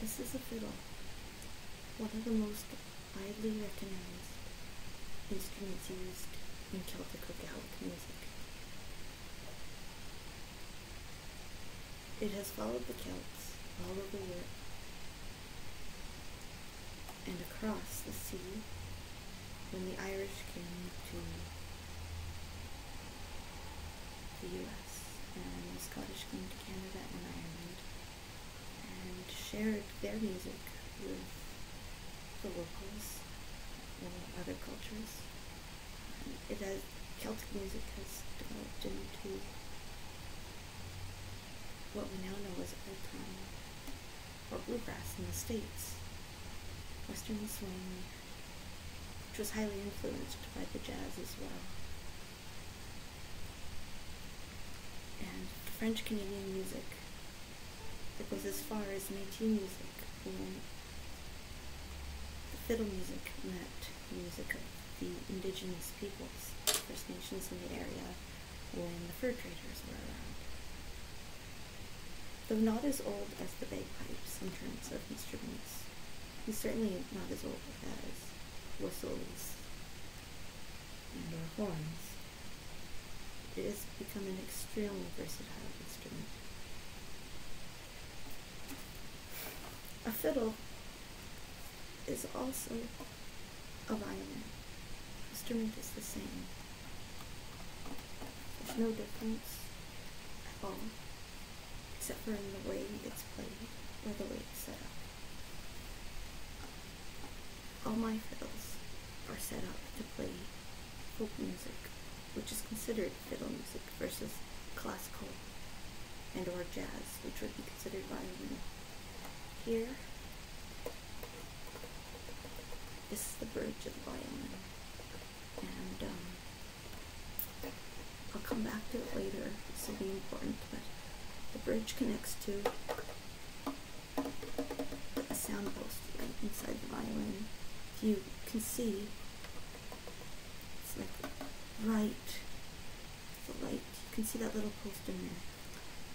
This is a fiddle, one of the most widely recognized instruments used in Celtic or Gaelic music. It has followed the Celts all over Europe and across the sea when the Irish came to the U.S and the Scottish came to Canada and Ireland and shared their music with the locals and other cultures. it has Celtic music has developed into what we now know as old-time or bluegrass in the States, Western swing, which was highly influenced by the jazz as well and French Canadian music that goes as far as Métis music and the fiddle music and music of the indigenous peoples, First Nations in the area when the fur traders were around. Though not as old as the bagpipes in terms of instruments, he's certainly not as old as whistles and our horns. It has become an extremely versatile instrument. A fiddle is also a violin. The instrument is the same. There's no difference at all except for in the way it's played or the way it's set up. All my fiddles are set up to play folk music, which is considered fiddle music versus classical and or jazz, which would be considered violin. Here this is the bridge of the violin. And um, I'll come back to it later. This will be important, but the bridge connects to the sound post inside the violin. If you can see, it's like right, the light. You can see that little post in there.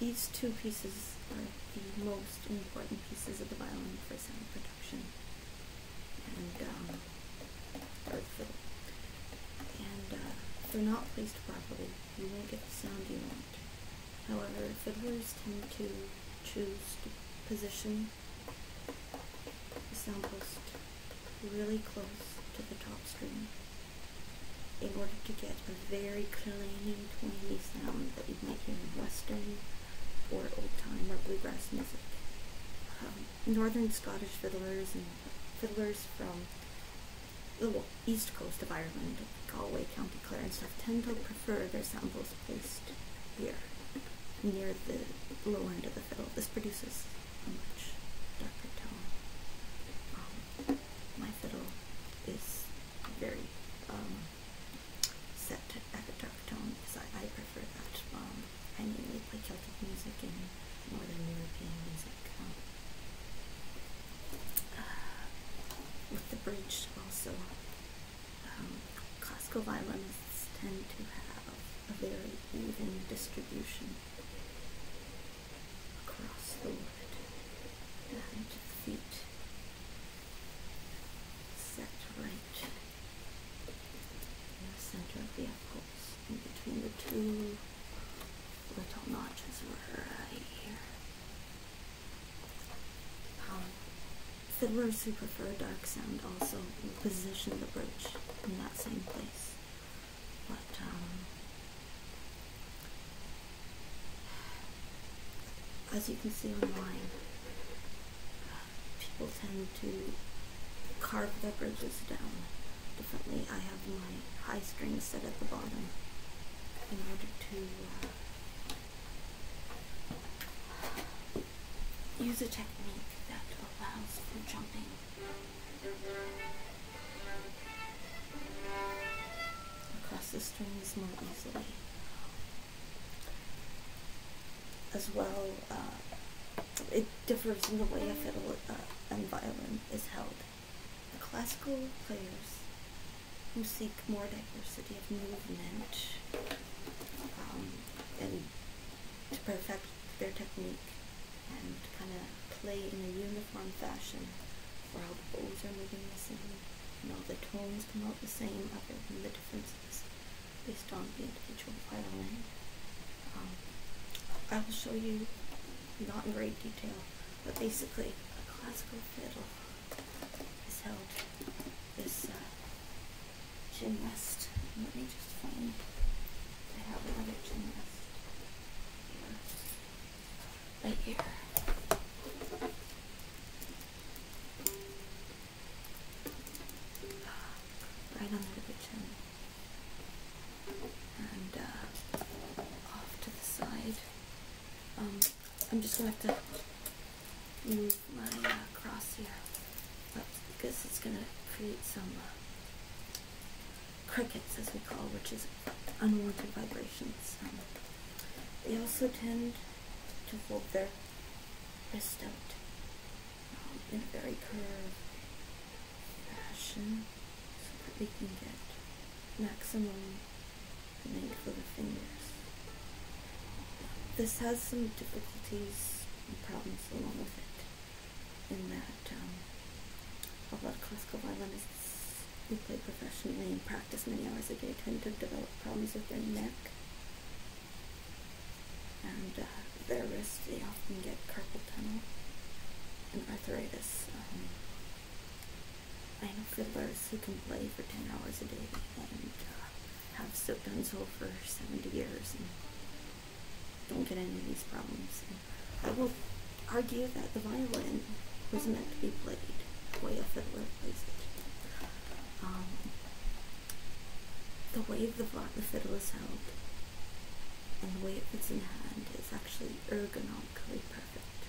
These two pieces are the most important pieces of the violin for sound production and um, And uh, if they're not placed properly, you won't get the sound you want. However, fiddlers tend to choose to position the sound post really close to the top string in order to get a very clean, twangy sound that you might hear in Western or old-time or bluegrass music. Um, Northern Scottish fiddlers and fiddlers from the east coast of Ireland, Galway, County Clare, and stuff tend to prefer their samples placed here, near the lower end of the fiddle. This produces a much darker tone. Um, my fiddle is very um, set at a darker tone because I, prefer that. Um, I mainly play Celtic music and Northern European music. Um, uh, with the bridge, also, um, classical violins tend to have a very even distribution across the wood and the feet set right in center of the upright in between the two little notches right here. Um, fiddlers who prefer dark sound also position the bridge in that same place. But, um, as you can see online, uh, people tend to carve the bridges down differently. I have my high strings set at the bottom in order to uh, use a technique that allows for jumping. Across the strings more easily. As well, uh, it differs in the way a fiddle uh, and violin is held. The classical players who seek more diversity of movement um, and to perfect their technique and kind of play in a uniform fashion where all the bows are moving the same and all the tones come out the same other than the differences based on the um, I will show you, not in great detail, but basically a classical fiddle is held this chin uh, rest. Let me just find, I have another chin rest here, right here. Right under the chin and uh, off to the side. Um, I'm just going to have to move my uh, cross here up because it's going to create some uh, crickets, as we call, which is unwanted vibrations. Um, they also tend to hold their wrist out um, in a very curve fashion so that we can get maximum length for the fingers. This has some difficulties and problems along with it in that um, a lot of classical violinists who play professionally and practice many hours a day tend to develop problems with their neck and uh, their wrists they often get carpal tunnel and arthritis. Um, I know fiddlers who can play for 10 hours a day and uh, have so done so for 70 years and don't get any of these problems. I will argue that the violin was meant to be played the way a fiddler plays it. Um, the way the fiddle is held and the way it fits in hand is actually ergonomically perfect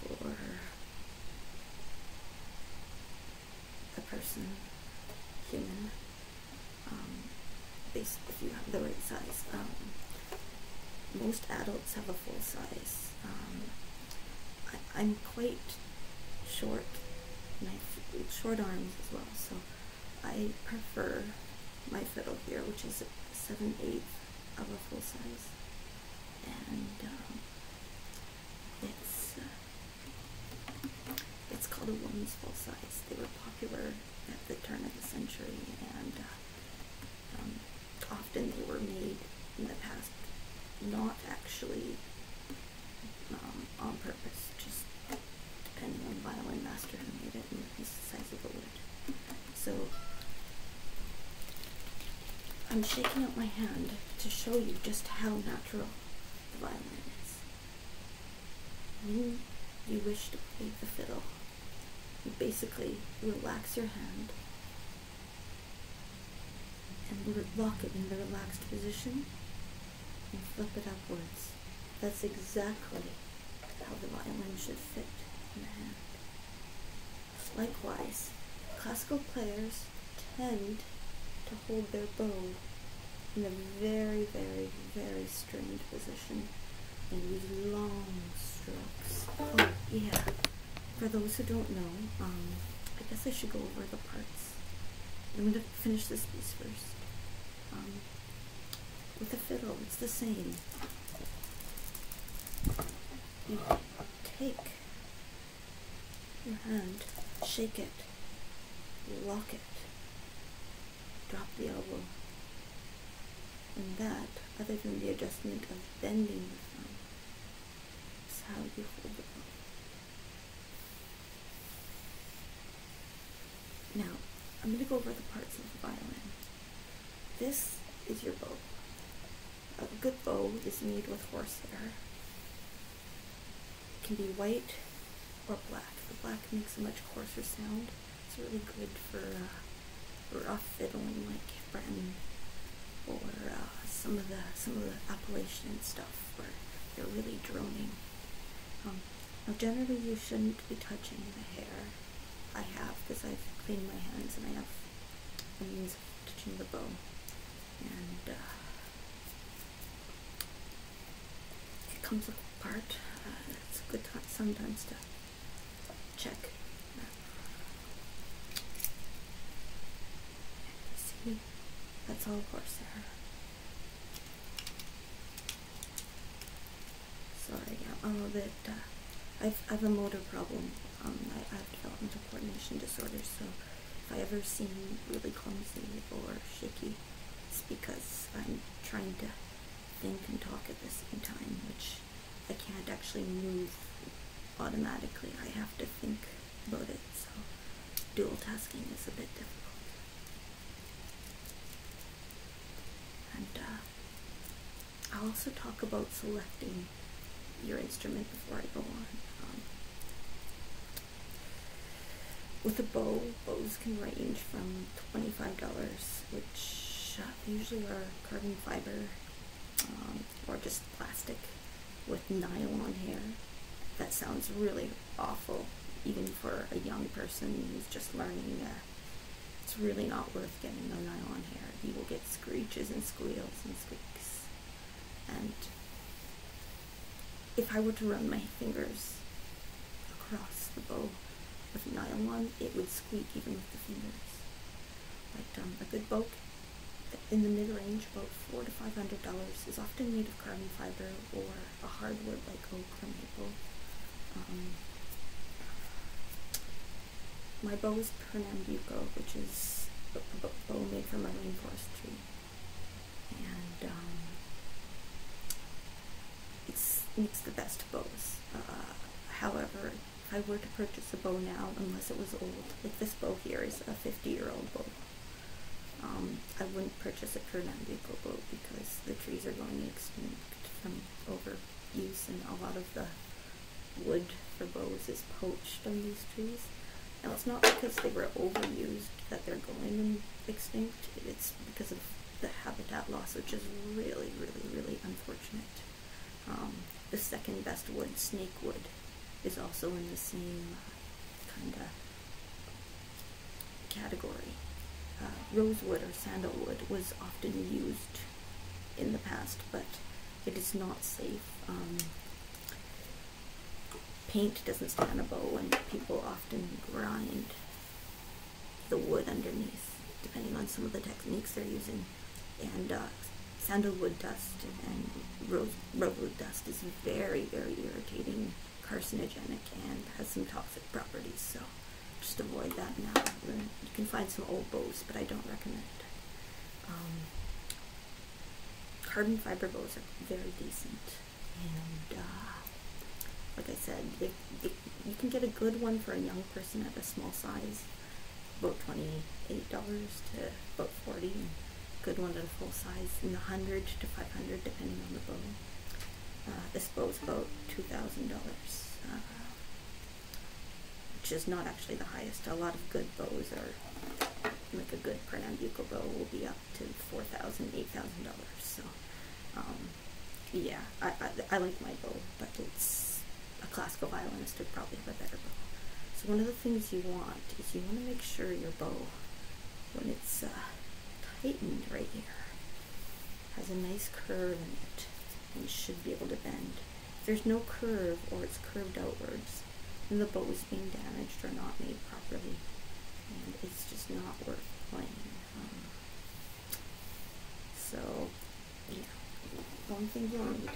for a person, human, um, based if you have the right size. Um, most adults have a full size. Um, I, I'm quite short, and I have short arms as well, so I prefer my fiddle here, which is a 7 8 of a full size. And um, it's, uh, it's called a woman's full size. They were popular at the turn of the century, and uh, um, often they were made in the past, not actually um, on purpose, just and the violin master who made it, and he's the size of a wood. So I'm shaking out my hand to show you just how natural the violin is. When you wish to play the fiddle, you basically relax your hand and lock it in the relaxed position and flip it upwards that's exactly how the violin should fit in the hand. Likewise, classical players tend to hold their bow in a very, very, very strained position and use long strokes. Oh, yeah. For those who don't know, um, I guess I should go over the parts. I'm going to finish this piece first. Um, with the fiddle. It's the same. You take your hand, shake it, lock it, drop the elbow. And that, other than the adjustment of bending the thumb, is how you hold the elbow. Now, I'm going to go over the parts of the violin. This is your bow. A good bow is made with horsehair. It can be white or black. The black makes a much coarser sound. It's really good for uh, rough fiddling like Breton or uh, some of the some of the Appalachian stuff where they're really droning now um, generally you shouldn't be touching the hair. I have because I've cleaned my hands and I have the means of touching the bone. And uh, it comes apart. Uh, it's good sometimes to check. See, that's all of horsehair. Sorry, I'm a bit. Uh, I've a motor problem. Um, I, have developmental coordination disorder, so if I ever seem really clumsy or shaky, it's because I'm trying to think and talk at the same time, which I can't actually move automatically. I have to think about it, so dual tasking is a bit difficult. And uh, I'll also talk about selecting your instrument before I go on. Um, with a bow, bows can range from $25, which uh, usually are carbon fiber um, or just plastic with nylon hair. That sounds really awful, even for a young person who's just learning it's really not worth getting the nylon hair. You will get screeches and squeals and squeaks. And if I were to run my fingers across the bow with nylon, it would squeak even with the fingers. Like um, a good boat in the mid-range, about four to five hundred dollars, is often made of carbon fiber or a hardwood like oak or maple. Um, my bow is Pernambuco, which is a bow made from a rainforest tree. And um, it's, makes the best bows. Uh, however, if I were to purchase a bow now, unless it was old, like this bow here is a 50 year old bow. Um, I wouldn't purchase a Pernambuco bow because the trees are going extinct from overuse and a lot of the wood for bows is poached on these trees. Now it's not because they were overused that they're going extinct, it's because of the habitat loss, which is really, really, really unfortunate. Um, the second best wood, snakewood, is also in the same kind of category. Uh, rosewood or sandalwood was often used in the past, but it is not safe. Um, paint doesn't stand a bow, and people often grind the wood underneath, depending on some of the techniques they're using. And uh, sandalwood dust and rose, rosewood dust is very, very irritating carcinogenic and has some toxic properties. So just avoid that now. You can find some old bows, but I don't recommend um, carbon fiber bows are very decent. And uh, like I said, you can get a good one for a young person at a small size, about $28 to about 40 good one to a full size in the 100 to 500 depending on the bow. Uh, this boat's about $2,000, uh, which is not actually the highest. A lot of good bows are, like a good Pernambuco bow will be up to $4,000, So, um, yeah, I, I, like my bow, but it's a classical violinist would probably have a better bow. So one of the things you want is you want to make sure your bow, when it's uh, tightened right here, has a nice curve in it and should be able to bend. If there's no curve or it's curved outwards, then the boat is being damaged or not made properly and it's just not worth playing. Um, so, yeah, one thing you'll need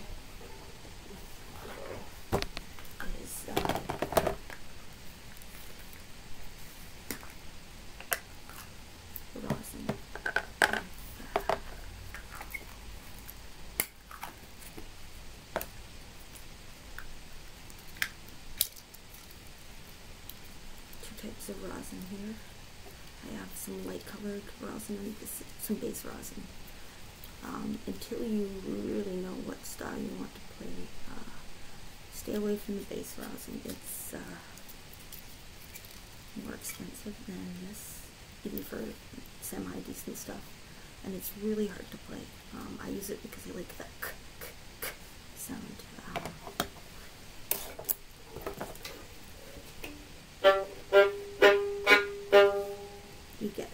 is uh, Two types of rosin here. I have some light colored rosin and this, some base rosin. Um, until you really know what style you want to play, uh, stay away from the base rosin. It's uh, more expensive than this, even for semi decent stuff. And it's really hard to play. Um, I use it because I like the sound. you get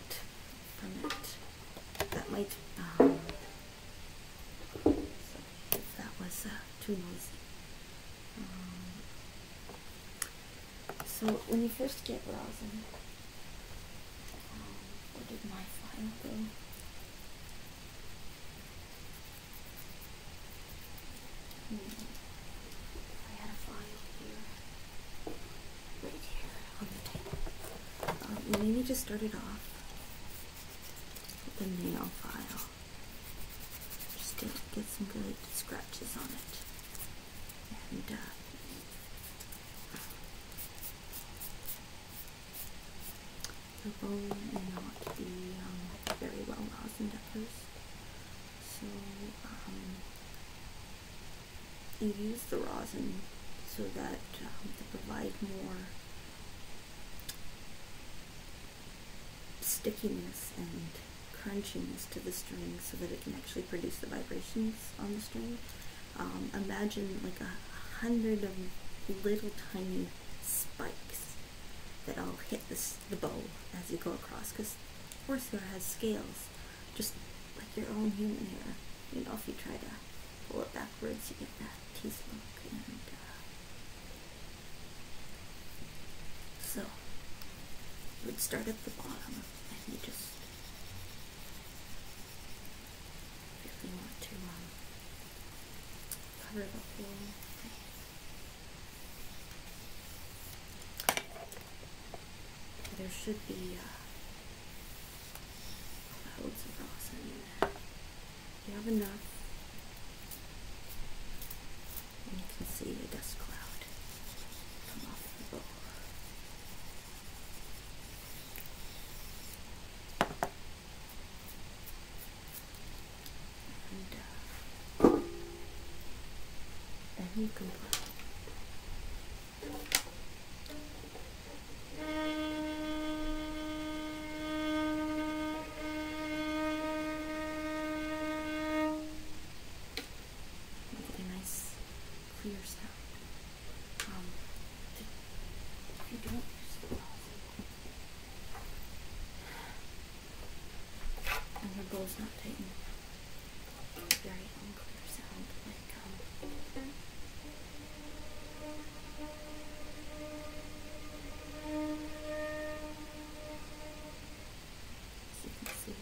from it. That might um, so that was uh, too noisy. Um, so when you first get rosin, um, where did my file go? Hmm. I had a file here, right here on the table. Um, maybe just start it off with a nail file. Just to get some good scratches on it. And uh, the bone may not be um, very well rosined at first. So um, you use the rosin so that um, to provide more stickiness and crunchiness to the string so that it can actually produce the vibrations on the string. Um, imagine like a hundred of little tiny spikes that all hit this, the bow as you go across because horsehair has scales just like your own human hair. You know, if you try to pull it backwards, you get that teeth look. Uh, so we'd start at the bottom and you just really want to um, cover the whole thing. There should be uh, loads of rosin in there. You have enough. And you can see a dust cloud come off the bowl. And uh, you can Really nice, clear sound. Um, if you don't use the and her bowl's not tightened, very unclear sound, um, so you can see.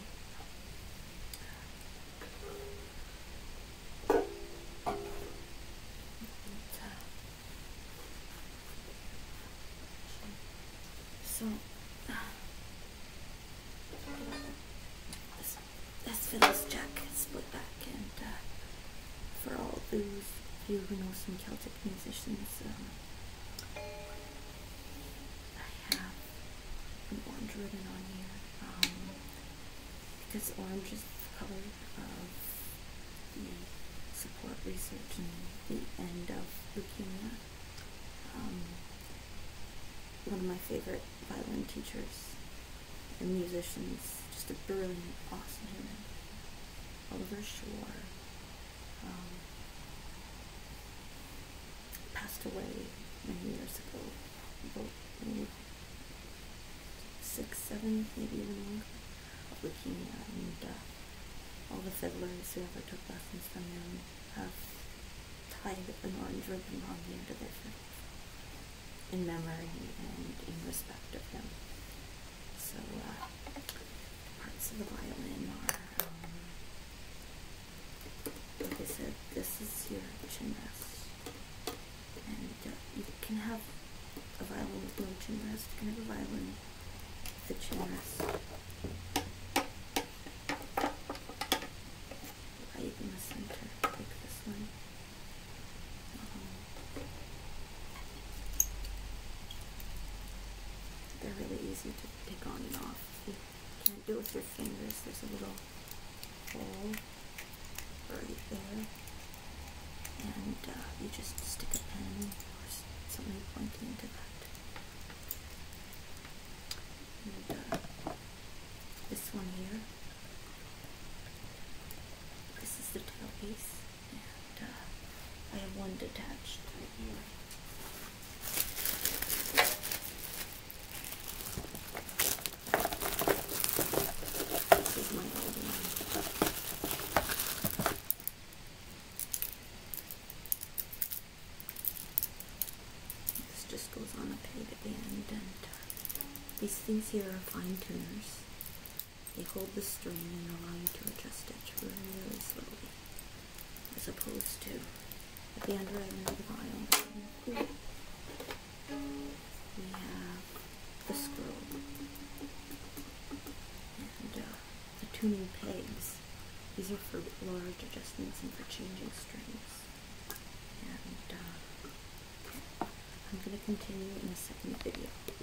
So this, this Phyllis jacket split back and uh, for all those of you who know some Celtic musicians, um, I have an orange ribbon on here um, because orange is the color of the support research and the end of leukemia. Um, one of my favorite violin teachers and musicians, just a brilliant, awesome human. Oliver Shore um, passed away many years ago, about six, seven, maybe even longer, of leukemia. And uh, all the fiddlers who ever took lessons from him have tied an orange ribbon on the end of their fiddle in memory and in respect of him. So, uh, parts of the violin are. Um, like I said, this is your chin rest, and uh, you can have a violin with no chin rest. You can have a violin with a chin rest. Right in the center, like this one. Um, they're really easy to take on and off. you can't do it with your fingers, there's a little hole right there. And uh, you just stick a pen or something pointy into that. And uh, this one here, this is the tail piece. I have one detached right here. This just goes on a peg at the end, and uh, these things here are fine tuners. They hold the string and allow you to adjust it really, really slowly, as opposed to at the under end of the violin. We have the scroll and uh, the tuning pegs. These are for large adjustments and for changing strings. And uh, I'm going to continue in a second video.